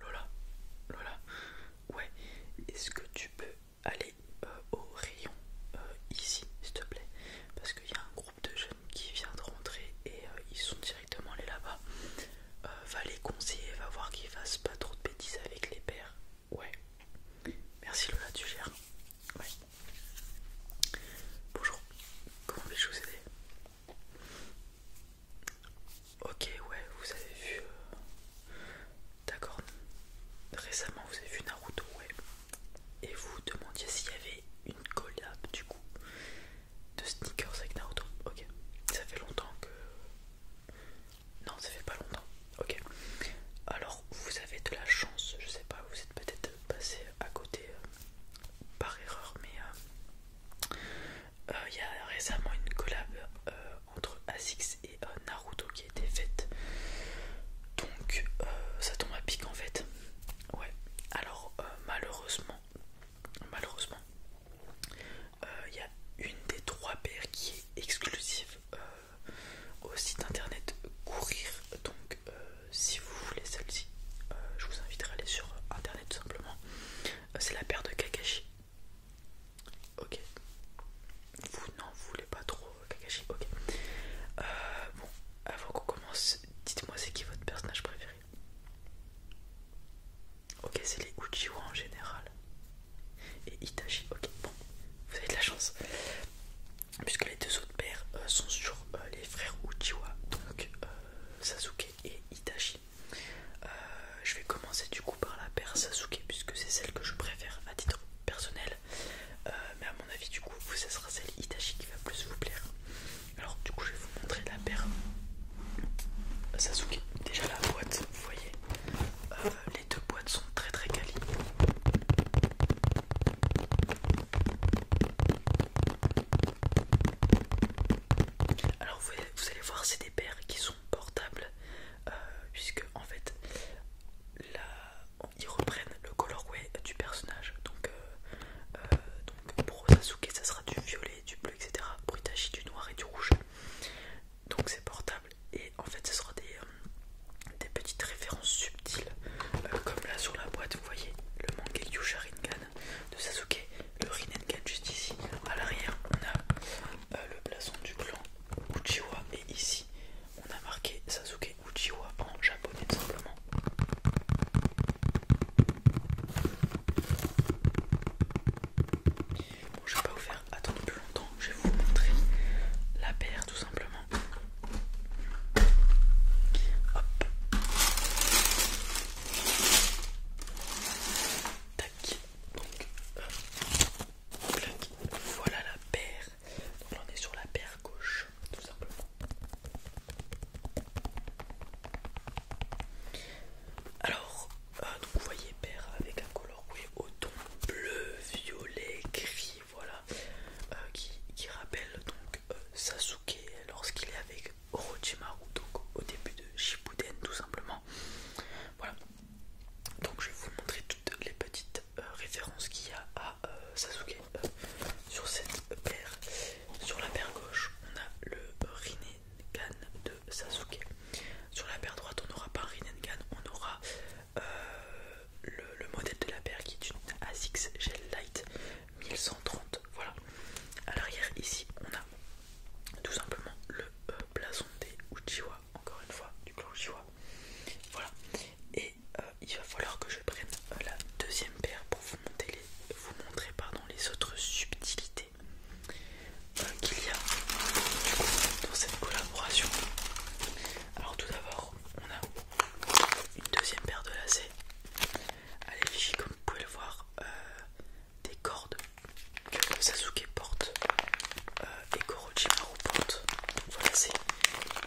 Lola, Lola, ouais, est-ce que tu peux aller euh, au rayon euh, ici, s'il te plaît Parce qu'il y a un groupe de jeunes qui vient de rentrer et euh, ils sont directement allés là-bas. va les conseiller, va voir qu'ils fassent pas trop de bêtises avec les pères. Ouais, merci Lola, tu gères. Ouais. Bonjour, comment vais je vous aider Ok, ouais, vous avez vu. Euh, d'accord. Récemment, vous avez vu Naruto, ouais. Et vous demandiez s'il y avait une collab du coup de sneakers avec Naruto. Ok. Ça fait longtemps que. Non, ça fait pas longtemps. Ok. Alors, vous avez de la chance. Je sais pas, vous êtes peut-être passé à côté euh, par erreur, mais. Euh, euh, il y a récemment une collab euh, entre ASICS et euh, Naruto qui a été faite. Donc ça tombe à pic en fait. Ouais. Alors malheureusement, malheureusement, il y a une des trois paires qui est exclusive au site internet Courir. Donc si vous voulez celle-ci, je vous inviterai à aller sur internet tout simplement. C'est la paire de Kakashi. Ok. Vous n'en voulez pas trop Kakashi. Ok. Euh, bon, avant qu'on commence, dites-moi c'est qui votre personnage préféré. Ok, c'est les Uchiwa en général. Et Itachi. Ok, bon, vous avez de la chance. Puisque les deux autres pères euh, sont sur euh, les frères Uchiwa, donc Sasuke et Itachi. Euh, je vais commencer du coup par la paire Sasuke puisque c'est celle que je préfère à titre personnel. Euh, mais à mon avis du coup ce sera celle Itachi qui va plus vous plaire. Alors du coup je vais vous montrer la paire Sasuke. Déjà la boîte, vous voyez, euh, les deux boîtes sont très très quali. Alors vous, allez voir, c'est des paires qui sont portables, euh, puisque en fait, ils reprennent le colorway du personnage. Euh, euh, donc, pour Sasuke, ça sera du violet, du bleu, etc. Pour Itachi, du noir et du rouge. Donc c'est portable et en fait, ce sera des, petites références subtiles, comme là sur la boîte, vous voyez le manga Sharingan de Sasuke, le Rinnegan juste ici. À l'arrière, on a euh, le blason du clan Uchiwa et ici, on a marqué Sasuke Uchiwa en japonais tout simplement. je vais pas vous faire attendre plus longtemps, je vais vous montrer la paire tout simplement. Voilà la paire. Donc on est sur la paire gauche, tout simplement. Alors, euh, vous voyez paire avec un coloris au ton bleu, violet, gris, voilà, euh, qui, rappelle donc euh, Sasuke lorsqu'il est avec c'est Orochimaru, au début de Shippuden tout simplement. Voilà, donc je vais vous montrer toutes les petites euh, références qu'il y a à euh, Sasuke euh, sur cette paire. Sur la paire gauche, on a le Rinnegan de Sasuke. Sur la paire droite, on n'aura pas un Rinnegan, on aura le, modèle de la paire qui est une ASICS Gel Light 1130. Voilà, à l'arrière, ici, on a tout simplement le euh, blason des Uchiwa, encore une fois, du clan Uchiwa. Voilà. Et euh, il va falloir que je prenne euh, la deuxième paire pour vous, vous montrer les autres subtilités qu'il y a dans cette collaboration. Alors tout d'abord, on a une deuxième paire de lacets à l'effigie, comme vous pouvez le voir des cordes que Sasuke porte euh, et Orochimaru porte. voilà, c'est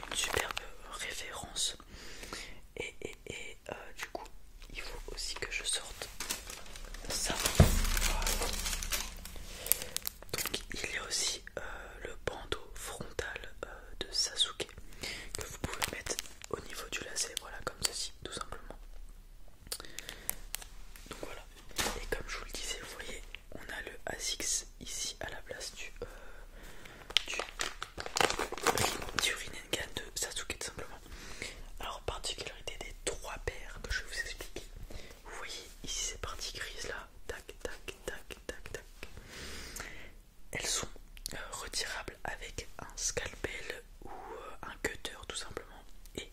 une superbe euh, référence. Et, euh, du coup, il faut aussi que je sorte ça. il y a aussi le bandeau frontal de Sasuke que vous pouvez mettre au niveau du lacet, voilà comme ceci tout simplement. Donc voilà, et comme je vous le disais, vous voyez, on a le ASICS ici à la place du, euh, du du, de Sasuke tout simplement. Alors, particularité des trois paires que je vais vous expliquer. Vous voyez, ici ces parties grises là, tac, tac, tac, tac, tac. Elles sont euh, retirables avec un scalpel ou un cutter tout simplement et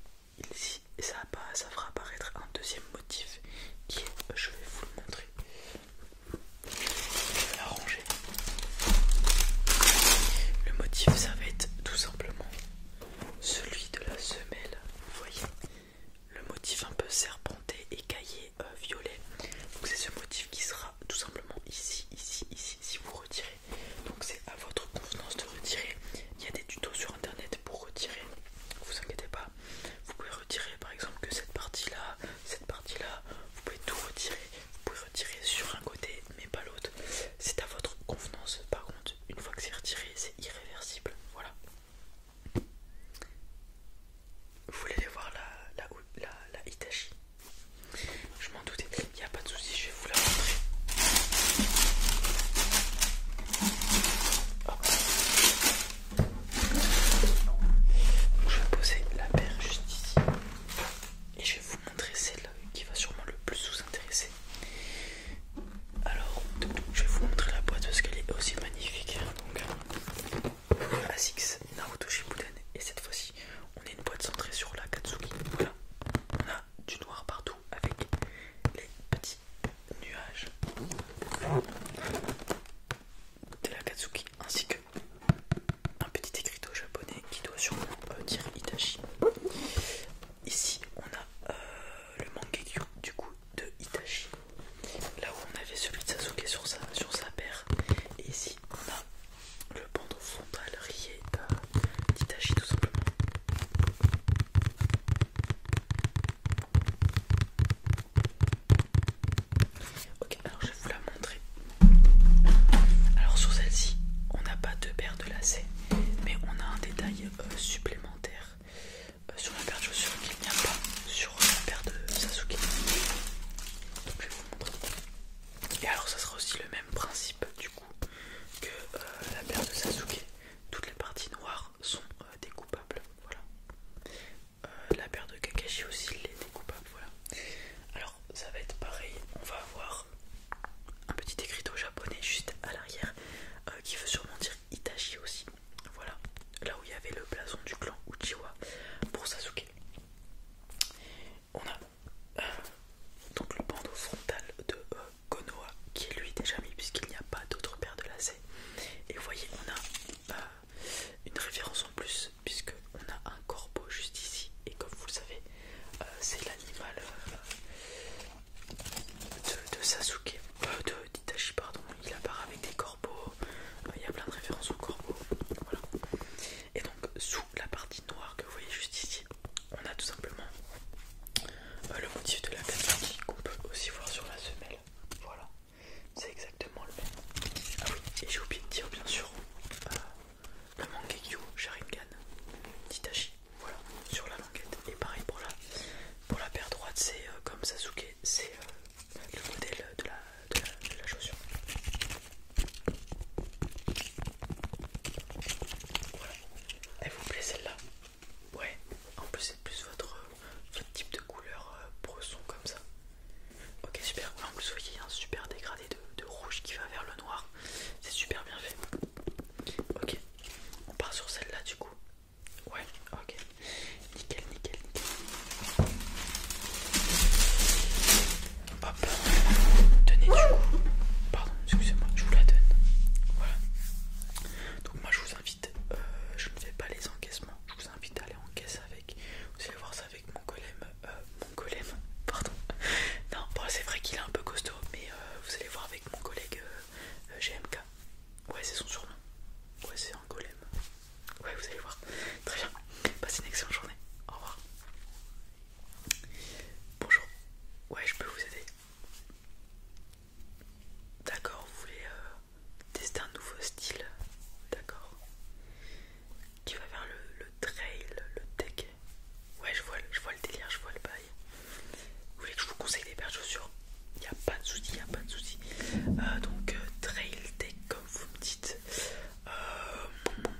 ici ça, ça fera apparaître un deuxième motif qui est, je vais vous le montrer je vais le motif ça va être tout simplement celui de la semelle vous voyez le motif un peu serpenté et euh, violet donc c'est ce motif qui sera tout simplement ici, ici, ici, si vous retirez. Donc c'est à votre convenance de retirer. Il y a des tutos sur internet pour retirer, vous inquiétez pas. Vous pouvez retirer par exemple que cette partie-là, cette partie-là, vous pouvez tout retirer. Vous pouvez retirer sur un côté mais pas l'autre. C'est à votre convenance. Par contre, une fois que c'est retiré, c'est irréversible. Voilà. Vous voulez aller voir la, la, la, la Hitachi je m'en doutais, il n'y a pas de souci, je vais vous la montrer. Je vais poser la paire juste ici et je vais vous montrer celle qui va sûrement le plus vous intéresser. Alors, je vais vous montrer la boîte parce qu'elle est aussi magnifique. Donc, Asics Naruto Shippuden et cette fois-ci on est une boîte centrée sur la Katsuki. Voilà, on a du noir partout avec les petits nuages de la Katsuki ainsi que un petit écriteau japonais qui doit sûrement euh, dire Itachi. Ici, on a euh, le manga du coup de Itachi. Là où on avait celui de Sasuke sur sa, sur sa paire, et ici on a le bandeau frontal rié d'Itachi tout simplement. Ok, alors je vais vous la montrer. Alors sur celle-ci, on n'a pas deux paires de lacets, mais on a un détail euh, supplémentaire euh, sur la paire de chaussures qu'il n'y a pas sur la paire de Sasuke. Donc, je vais vous montrer. Et alors ça sera aussi le même principe du coup que euh, la paire de Sasuke. Toutes les parties noires sont euh, découpables. Voilà. Euh, la paire de Kakashi aussi les découpable. Voilà. Alors ça va être pareil. On va avoir un petit écriteau japonais juste à l'arrière qui veut sûrement dire Itachi aussi. Voilà. Là où il y avait le blason du clan Uchiwa pour Sasuke on a euh, donc le bandeau frontal de euh, Konoa qui est lui déjà mis puisqu'il n'y a pas d'autre paire de lacets. Et vous voyez, on a euh, une référence en plus puisque on a un corbeau juste ici. Et comme vous le savez, c'est l'animal de, Sasuke, de Itachi pardon. Il apparaît avec des corbeaux. Il y a plein de références aux corbeaux. Voilà. Et donc sous la partie noire que vous voyez juste ici, on a tout simplement euh, le motif de la partie qu'on peut aussi voir sur la semelle. Voilà, c'est exactement le même. Ah oui, et j'ai oublié de dire bien sûr euh, le Mangekyo Sharingan d'Itachi. Voilà, sur la languette. Et pareil pour la, pour la paire droite, c'est euh, comme Sasuke, c'est le modèle de la de, la, chaussure. Voilà. Elle vous plaît celle-là Ouais. En plus c'est plus votre, type de couleur euh, brosson comme ça. Ok super. En plus vous voyez un super dégradé de, de rouge qui va vers le noir. C'est super bien fait. Ok. On part sur celle-là du coup. Ouais. Ok. Nickel, nickel, nickel. Hop, tenez Pardon, excusez-moi, je vous la donne. Voilà. Donc moi je vous invite, euh, je ne fais pas les encaissements, je vous invite à aller en caisse avec. Vous allez voir ça avec mon golem. Euh, mon golem, pardon. Non, c'est vrai qu'il est un peu costaud, mais euh, vous allez voir avec mon collègue GMK. Ouais, c'est son surnom. Ouais, c'est un golem. Ouais, vous allez voir. Très bien. Passez une excellente journée. Au revoir. Bonjour. Ouais, je peux vous aider. D'accord, vous voulez euh, tester un nouveau style D'accord. Tu vas vers le, trail, le tech. Ouais, je vois, je vois le délire, je vois le bail. Vous voulez que je vous conseille des paires de chaussures Il n'y a pas de souci, il n'y a pas de souci. Euh, donc, euh, trail tech, comme vous me dites. Euh,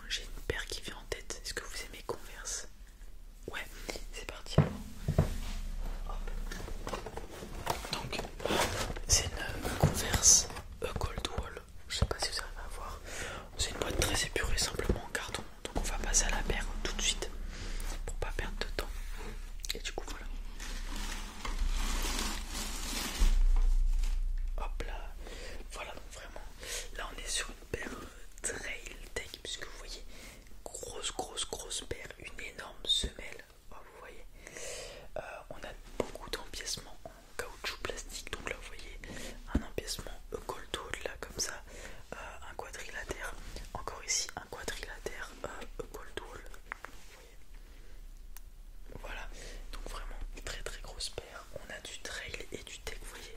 j'ai une paire qui vient en tête. Est-ce que vous aimez Converse Ouais, c'est parti. Donc, c'est une euh, Converse euh, Cold Wall. Je sais pas si vous arrivez à voir. C'est une boîte très épurée, simplement en carton. Donc, on va passer à la paire tout de suite pour pas perdre de temps. Et du coup, voilà. Hop là, voilà vraiment. Là on est sur une paire très trail tech puisque vous voyez grosse grosse grosse paire, une énorme semelle, oh, vous voyez. Euh, on a beaucoup d'empiècements en caoutchouc plastique, donc là vous voyez un empiècement hole là comme ça, euh, un quadrilatère, encore ici un quadrilatère euh, vous voyez. Voilà, donc vraiment très très grosse paire on a du trail et du tech, vous voyez,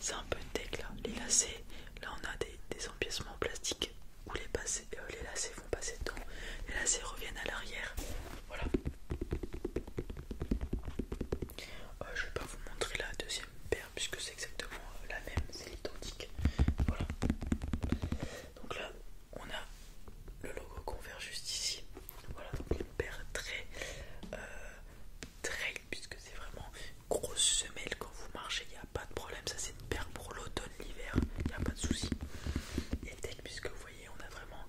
c'est un peu tech là, les lacets, là on a des, empiècements en plastique où euh, les, lacets vont passer dedans, les lacets reviennent à l'arrière, voilà. Euh, je vais pas vous montrer la deuxième paire puisque c'est exactement euh, la même, c'est l'identique. Voilà. Donc là, on a le logo ver juste ici. Voilà, donc une paire très euh, très puisque c'est vraiment grosse semelle quand vous marchez, il n'y a pas de problème. Ça, c'est une paire pour l'automne, l'hiver, il n'y a pas de souci. Et tech, puisque vous voyez, on a vraiment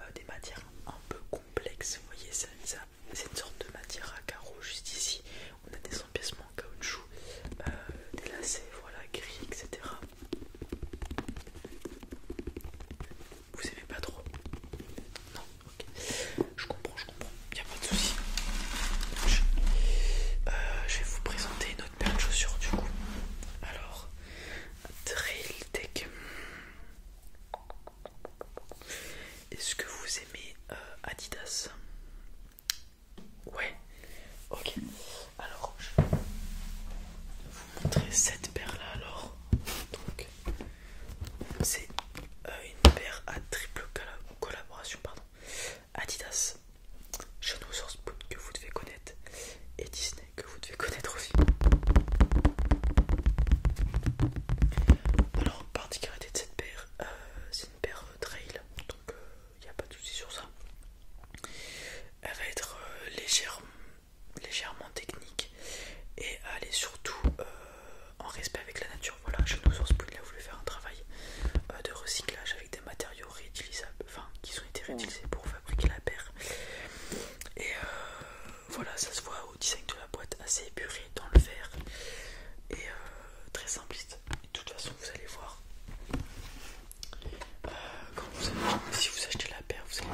euh, des matières un peu complexes. Vous voyez, ça, c'est une sorte de matière à carreaux juste ici. On a des empiècements en caoutchouc, euh, des lacets, voilà, gris, etc vous aimez pas trop Non Ok. Je comprends, je comprends. Il a pas de souci. Euh, je... vais vous présenter une autre paire de chaussures du coup. Alors, Trail Tech. Est-ce que vous aimez euh, Adidas Ouais. Ok. Alors, je montrer cette paire là alors. Donc c'est euh, une paire à triple collaboration pardon. Adidas, Shadow Source que vous devez connaître et Disney que vous devez connaître aussi. Alors particularité de cette paire, euh, c'est une paire euh, trail, donc il n'y a pas de souci sur ça. Elle va être légèrement légère, légèrement technique et aller surtout euh, en respect avec la nature. Voilà, je nous pas Spoon, voulu faire un travail euh, de recyclage avec des matériaux réutilisables, enfin qui ont été réutilisés pour fabriquer la paire. Et euh, voilà, ça se voit au design de la boîte, assez épuré dans le verre et très simpliste. de toute façon, vous allez voir si vous achetez la paire, vous allez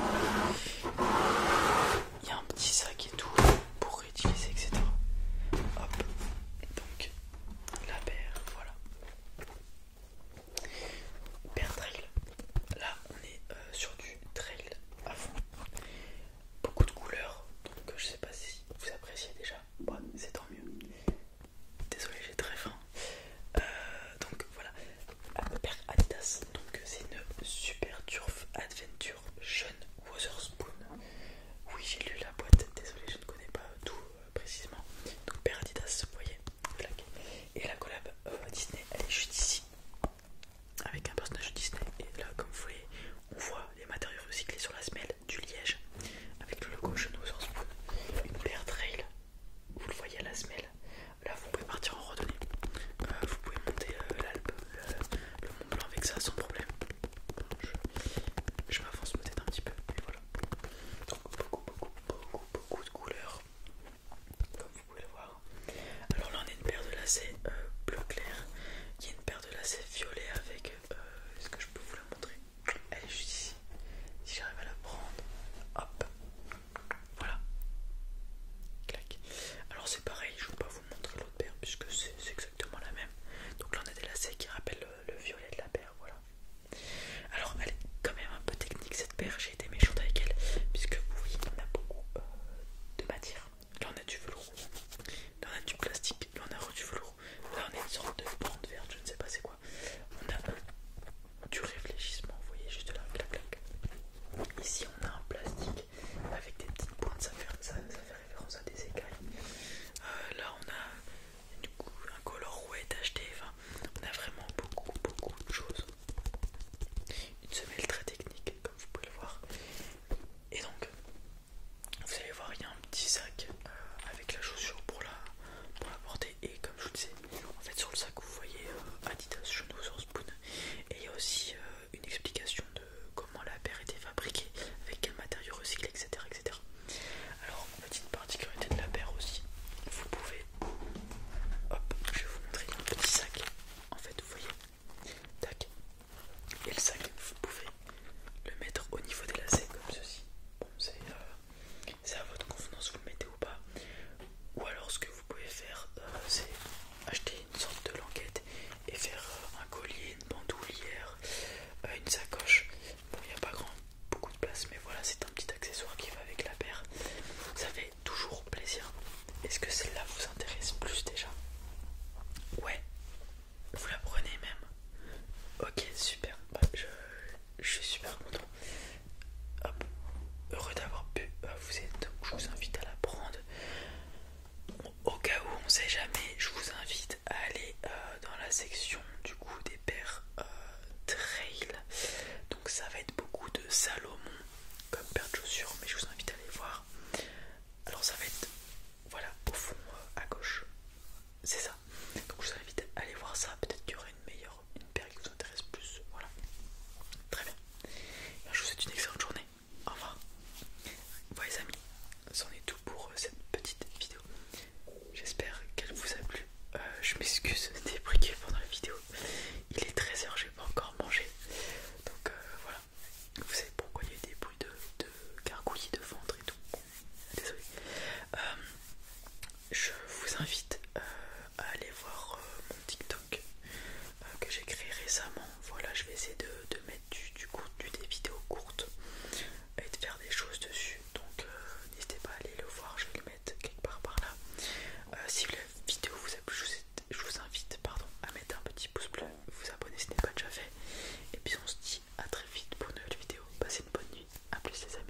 il y a un petit sac et tout pour réutiliser, etc. Hop, donc la paire, voilà. Paire trail, là on est euh, sur du trail à fond, beaucoup de couleurs, donc euh, je sais pas si vous appréciez déjà, c'est tant mieux. Désolé, j'ai très faim. Euh, donc voilà, voilà, père Adidas. Donc c'est une Super Turf Adventure Jeune Wotherspoon. Oui, j'ai lu la boîte, désolé, je ne connais pas tout euh, précisément. Donc père Adidas, vous voyez, Et la collab euh, Disney, elle est juste ici, avec un personnage Disney. Et là, comme vous voyez, on voit les matériaux recyclés sur la semelle du liège, avec le logo Jeune Wotherspoon. Une paire trail, vous le voyez à la semelle. Là, vous pouvez partir en randonnée. Euh, vous pouvez monter euh, l'Alpe, euh, le, Mont Blanc avec ça sans problème. Je, m'avance peut-être un petit peu, Donc, beaucoup, beaucoup, beaucoup, beaucoup de couleurs, comme vous pouvez le voir. Alors là, on a une paire de lacets bleu clair, Il y a une paire de lacets violet avec. Est-ce que je peux vous la montrer Elle est juste ici. Si j'arrive à la prendre, hop, voilà. Alors c'est pareil, je ne vais pas vous montrer l'autre paire puisque c'est exactement la même. Donc là on a des lacets qui rappellent le, violet de la paire, voilà. Alors elle est quand même un peu technique cette paire, j'ai été méchante avec elle, puisque oui, on a beaucoup euh, de matière. Là on a du velours, là on a du plastique, là on a du velours, là on a une sorte de bande verte, je ne sais pas c'est quoi. On a du réfléchissement, vous voyez juste là, clac Ici on a un plastique avec des petites pointes, ça fait, ça, fait référence à des écailles. Euh, là on a du coup, un colorouette acheté, enfin on a vraiment beaucoup beaucoup de choses. Une semelle très technique comme vous pouvez le voir. Et donc vous allez voir il y a un petit sac euh, avec la chaussure pour la, pour la porter et comme je vous le disais en fait sur le sac vous voyez euh, Adidas Chenoux sur Spoon et il y a aussi euh, une explication de comment la paire était fabriquée, avec quel matériau recyclé etc etc. Alors petite particularité de la paire aussi, vous pouvez hop je vais vous montrer un petit sac en fait vous voyez tac et le sac vous pouvez le mettre au niveau des lacets comme ceci. c'est euh, c'est à votre convenance, vous le mettez ou pas. Ou alors, ce que vous pouvez faire, euh, c'est acheter une sorte de languette et faire euh, un collier, une bandoulière, euh, une sacoche. Bon, il n'y a pas grand, beaucoup de place, mais voilà, c'est un petit accessoire qui va avec la paire. Ça fait toujours plaisir. Est-ce que celle-là vous intéresse plus déjà Ouais, vous la prenez même. Ok, super. Bah, je suis super content. Heureux d'avoir pu bah, vous aider. je vous invite à la prendre. Au cas où on sait jamais, je vous invite à aller euh, dans la section du coup des paires euh, trail. Donc ça va être beaucoup de Salomon comme paire de chaussures, mais je vous invite à aller voir. Alors ça va être voilà au fond euh, à gauche, c'est ça. Donc je vous invite à aller voir ça. Peut-être qu'il y aura une meilleure une paire qui vous intéresse plus. Voilà. Très bien. Bah, je vous souhaite une excellente journée. Au revoir. Voilà les amis, c'en est tout pour euh, cette petite vidéo. J'espère qu'elle vous a plu. Euh, je m'excuse des briquets pendant la vidéo. Il est 13h, j'ai pas encore mangé. Donc euh, voilà. Vous savez pourquoi il y a des bruits de, gargouillis de ventre et tout. Désolé je vous invite euh, à aller voir euh, mon TikTok euh, que j'ai créé récemment. Voilà, je vais essayer de, mettre du, contenu, des vidéos courtes et de faire des choses dessus. Donc n'hésitez pas à aller le voir, je vais le mettre quelque part par là. si la vidéo vous a plu, je vous invite pardon, à mettre un petit pouce bleu, vous abonner si ce n'est pas déjà fait. Et puis on se dit à très vite pour une nouvelle vidéo. Passez une bonne nuit, à plus les amis.